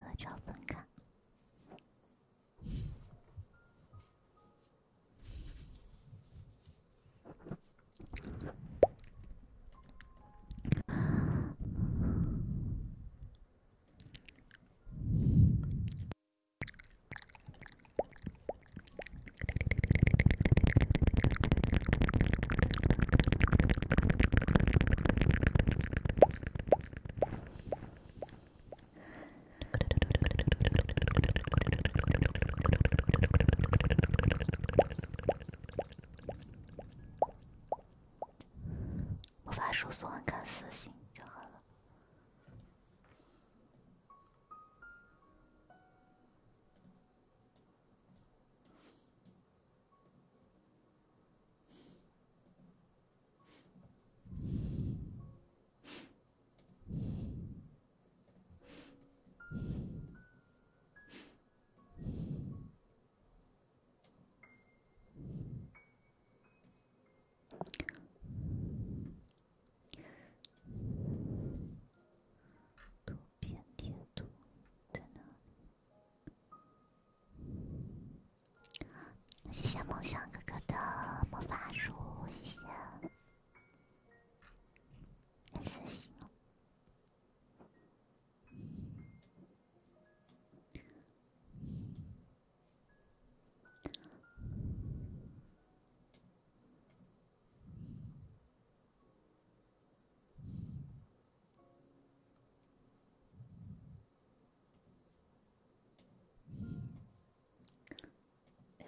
和赵分开。魔法书送完看私信就好了。图片贴图在哪里？谢谢梦想哥哥的魔法书，谢谢。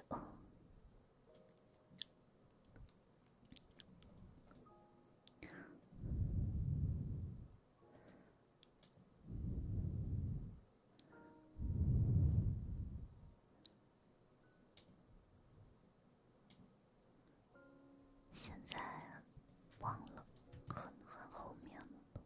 哦，现在忘了，很很后面了都。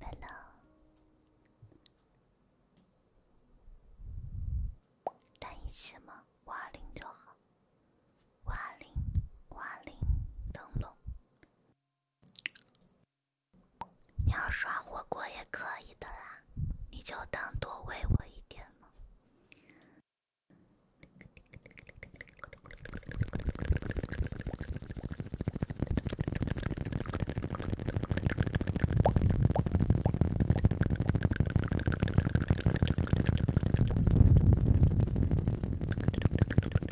来了，等一下吗？五二零就好。花铃，花铃，灯笼。你要刷火锅也可以的啦，你就当多喂我一点嘛。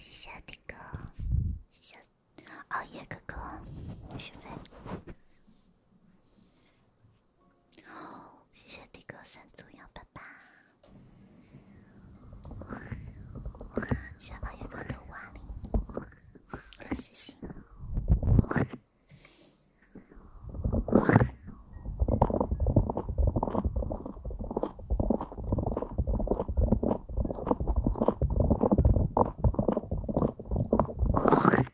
谢谢那个，谢谢熬夜哥哥，许飞。谢谢迪哥三组幺八八，谢谢。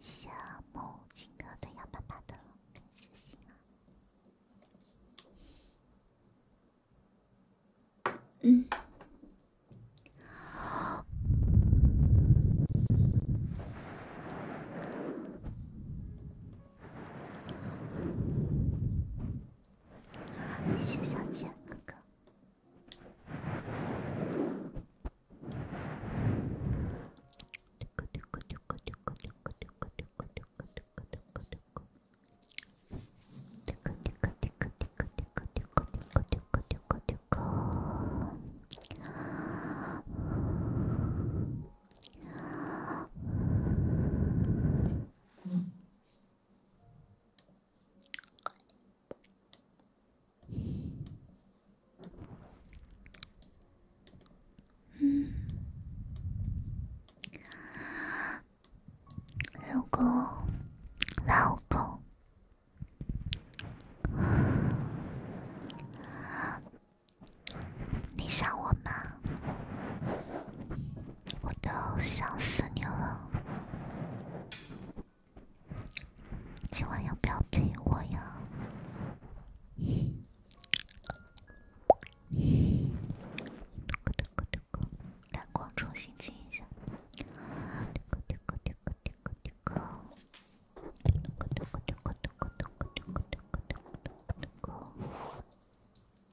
小梦，情歌都要爸爸的。嗯。谢谢小杰哥哥。嗯，老公，老公，你想我吗？我都想死你了，今晚要不要陪我呀？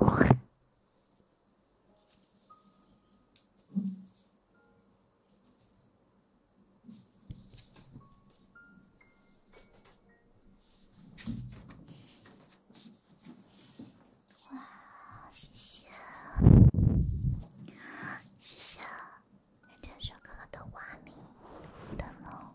哇！谢谢，谢谢，感谢小哥哥的瓦泥灯笼。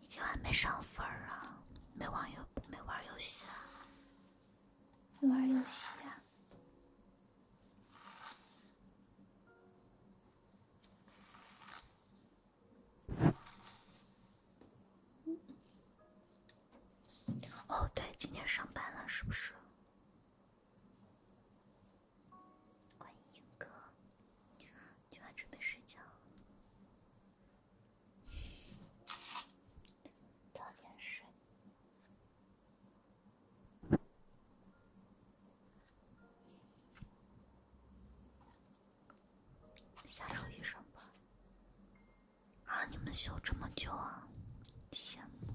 你今晚没上分啊？没玩游，没玩游戏啊？没玩游戏啊？哦，对，今天上班了是不是？欢迎英哥，今晚准备睡觉。早点睡。下周医生吧！啊，你们休这么久啊，羡慕。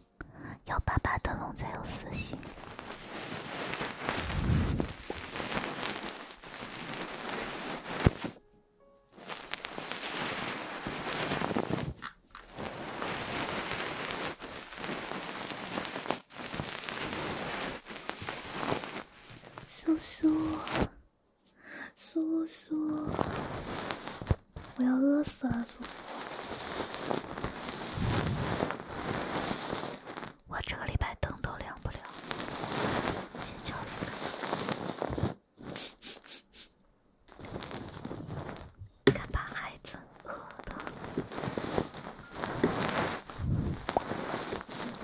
要八八灯笼才有私心，叔叔，叔叔。我要饿死了，叔叔。我这个礼拜灯都亮不了。睡觉。鱼，看把孩子饿的，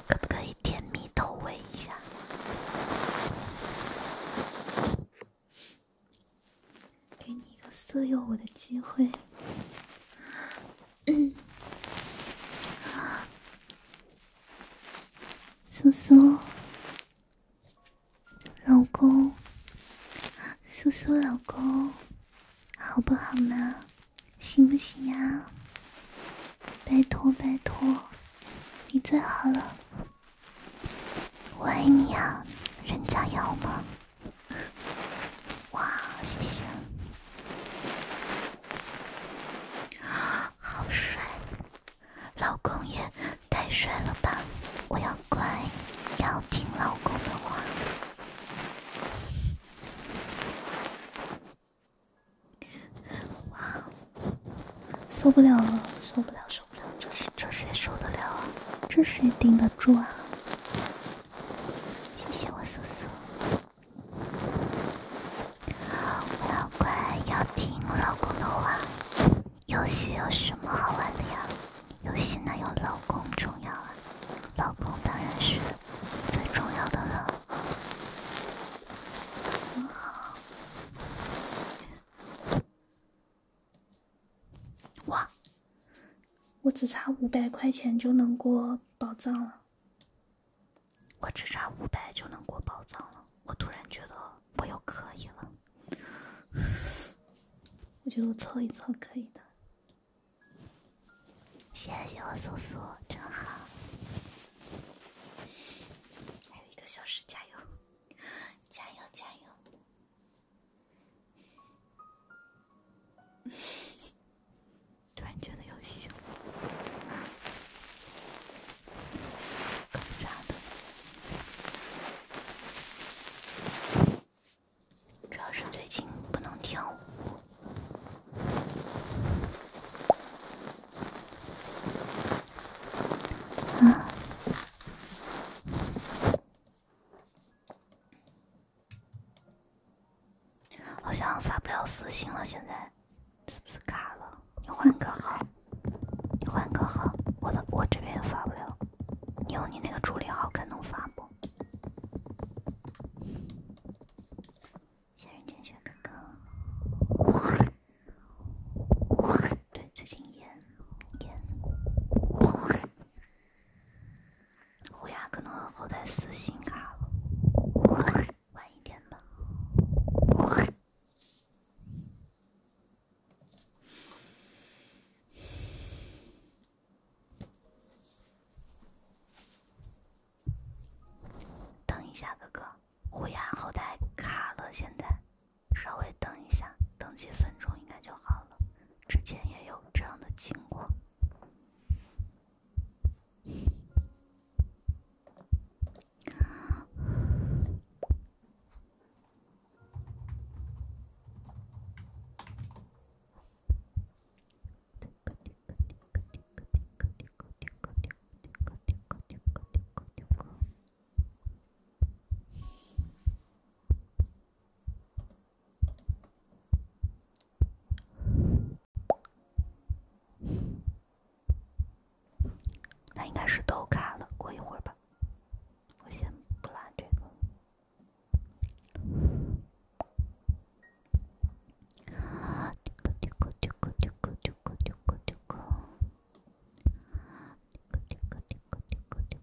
可不可以甜蜜投喂一下？给你一个色诱我的机会，苏苏，老公，苏苏，老公，好不好嘛？行不行呀？拜托拜托，你最好了。我爱你啊，人家要吗？哇，谢谢！好帅，老公也太帅了吧！我要乖，要听老公的话。哇，受不了了，受不了这是这谁受得了啊？这谁顶得住啊？谢谢我思思，我要乖，要听老公的话。游戏有什么好玩的呀？游戏哪有老公重要啊？老公当然是最重要的了。哇！我只差五百块钱就能过宝藏了，我只差五百就能过宝藏了。我突然觉得我又可以了，我觉得我凑一凑可以的。谢谢我苏苏，真好！还有一个小时，加油！加油！加油！突然觉得有些……主要是最近不能跳舞啊。好像发不了私信了，现在是不是卡了？你换个号，你换个号，我的我这边也发不了，你用你那个助理号看能发不？仙人见选哥哥。对，最近演演，虎牙可能后台私信卡了，晚一点吧。等一下，哥哥，虎牙后台卡了，现在。稍微等一下，等几分钟应该就好了。之前也有这样的情况。那应该是都卡了，过一会儿吧，我先不拉这个。这个。嘀咕嘀咕嘀咕嘀咕嘀咕嘀咕嘀咕嘀咕嘀咕嘀咕。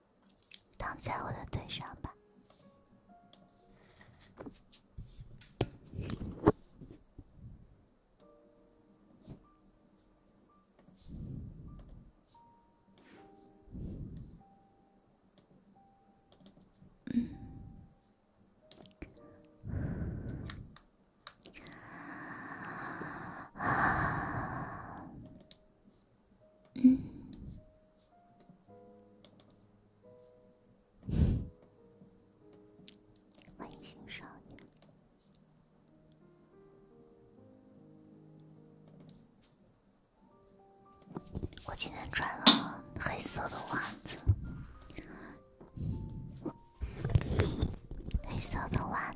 躺在我的腿上吧。嗯，欢迎新少年。我今天穿了黑色的袜子，黑色的袜。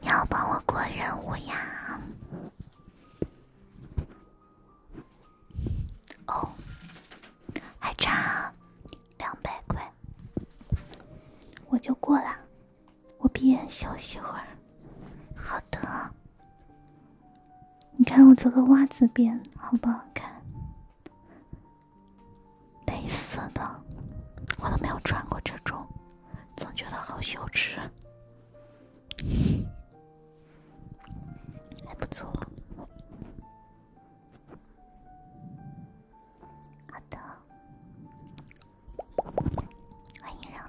你要帮我过任务呀？哦，还差两百块，我就过了。我闭眼休息会儿。好的。你看我这个袜子边好不好看？类似的，我都没有穿过这种，总觉得好羞耻。还不错，好的，欢迎让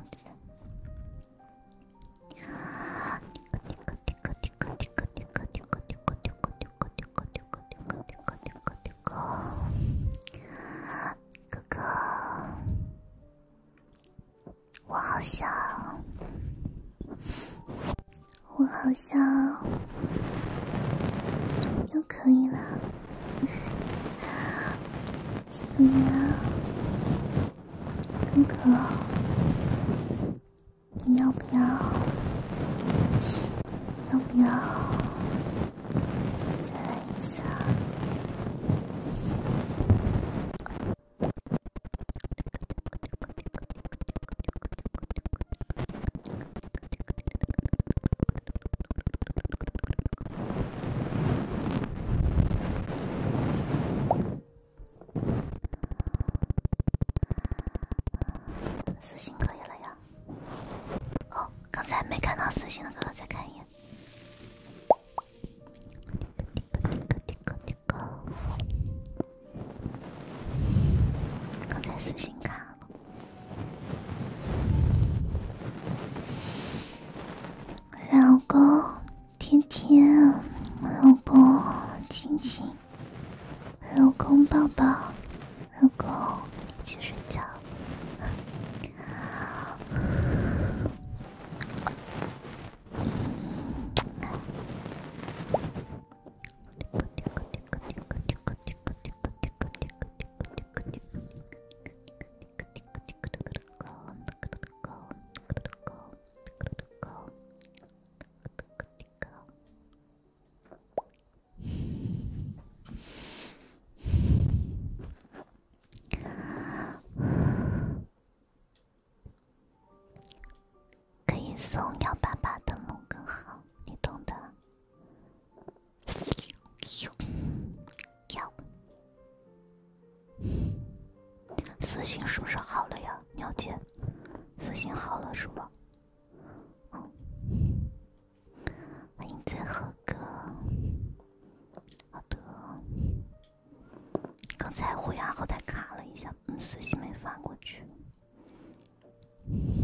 哥哥，我好像，我好像要不要，要不要？私信可以了呀。哦，刚才没看到私信的哥哥，再看一眼。刚才私信看了，老公，天天，老公，亲亲，老公抱抱。老公，一起睡觉。可以送幺八八灯笼更好，你懂的。幺，私信是不是好了呀，鸟姐？私信好了是吧？欢迎最后哥。好的，刚才虎牙后台卡了一下，嗯，私信没发过去。嗯。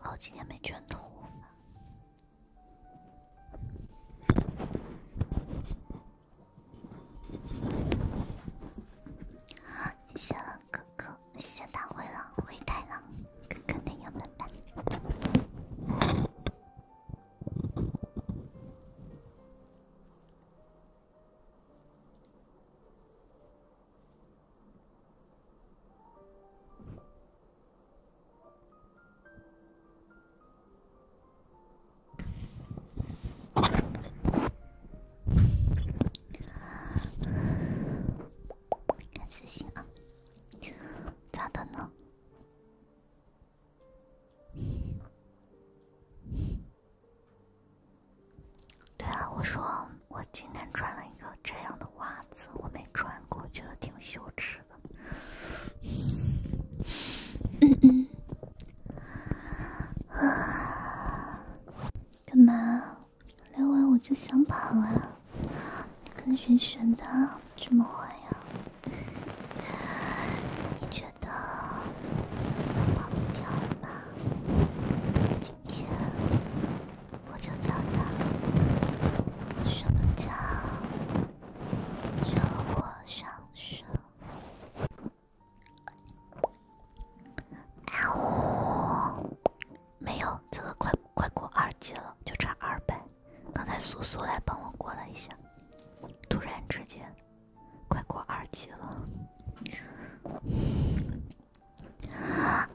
好几天没卷头发，谢谢哥哥，谢谢大灰狼、灰太狼，哥哥那样的蛋。看私信啊，咋的呢？对啊，我说。我今天穿了一个这样的袜子，我没穿过，觉得挺羞耻的。嗯嗯，啊，干嘛？聊完我就想跑啊！跟谁学的？这么坏呀？那你觉得跑掉吗？今天。我就悄悄，什么叫惹火上身？呜，没有，这个快快过二级了，就差二百。刚才苏苏来帮我过了一下，突然之间，快过二级了。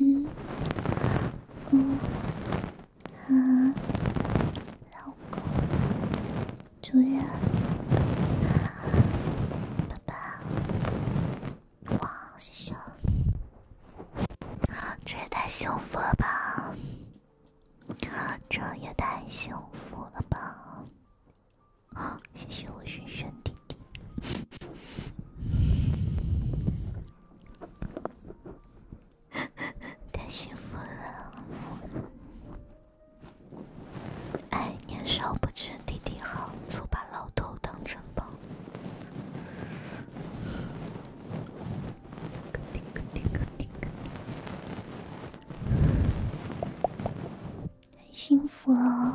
嗯，嗯，啊，老公。主人，爸爸，哇，师兄，这也太幸福了吧！这也太幸福了吧！啊，谢谢我轩轩弟弟，太幸福了。哎，年少不知弟弟好，错把老头当成宝。很幸福哦，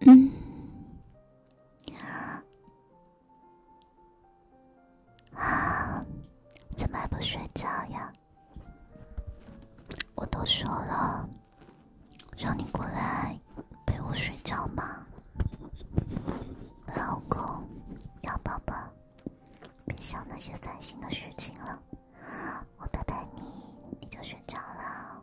嗯，啊，怎么还不睡觉呀？我都说了，让你过来陪我睡觉嘛，老公，要抱抱，别想那些烦心的事情了，我拜拜，你，你就睡着了。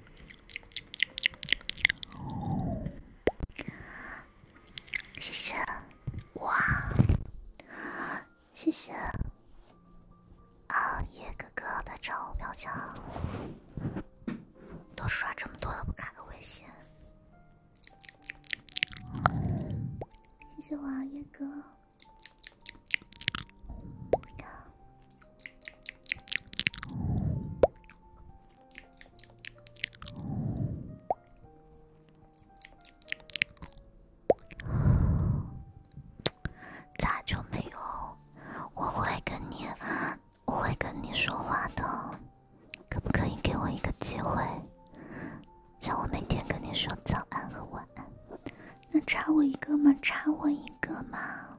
谢谢，哇，谢谢啊，叶哥哥的我表强，都刷这么多了，不加个微信？谢谢我啊，叶哥。咋就没有？我会跟你，我会跟你说话的。可不可以给我一个机会，让我每天跟你说早安和晚安？那差我一个吗？差我一个吗？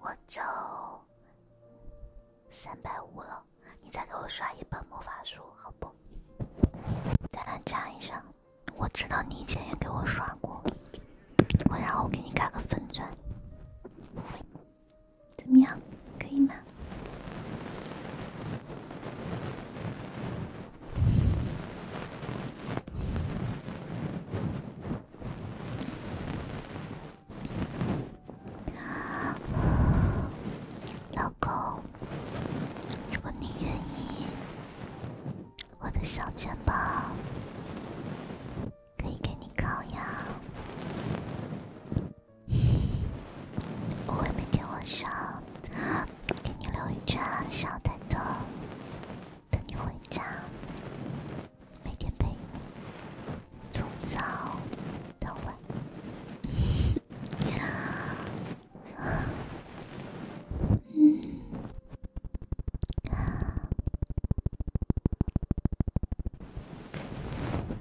我就三百五了，你再给我刷一本魔法书，好不？咱俩讲一下，我知道你以前也给我刷过，我然后给你加个粉钻。怎么样，可以吗，老公？如果你愿意，我的小肩膀可以给你靠呀。我会每天晚上给你留一盏小灯，等你回家，每天陪你从早到晚。嗯。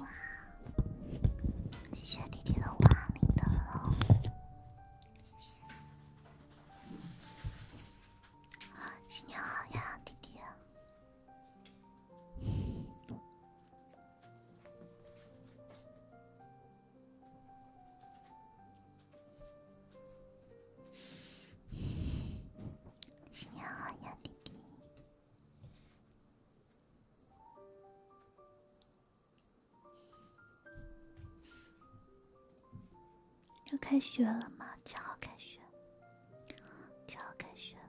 哇！谢谢弟弟的花，领的了。谢谢。啊，新年好呀，弟弟。新年好呀，弟弟。要开学了吗？七号开学，七号开学了。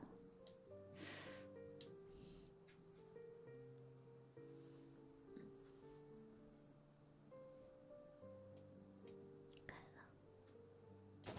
开了。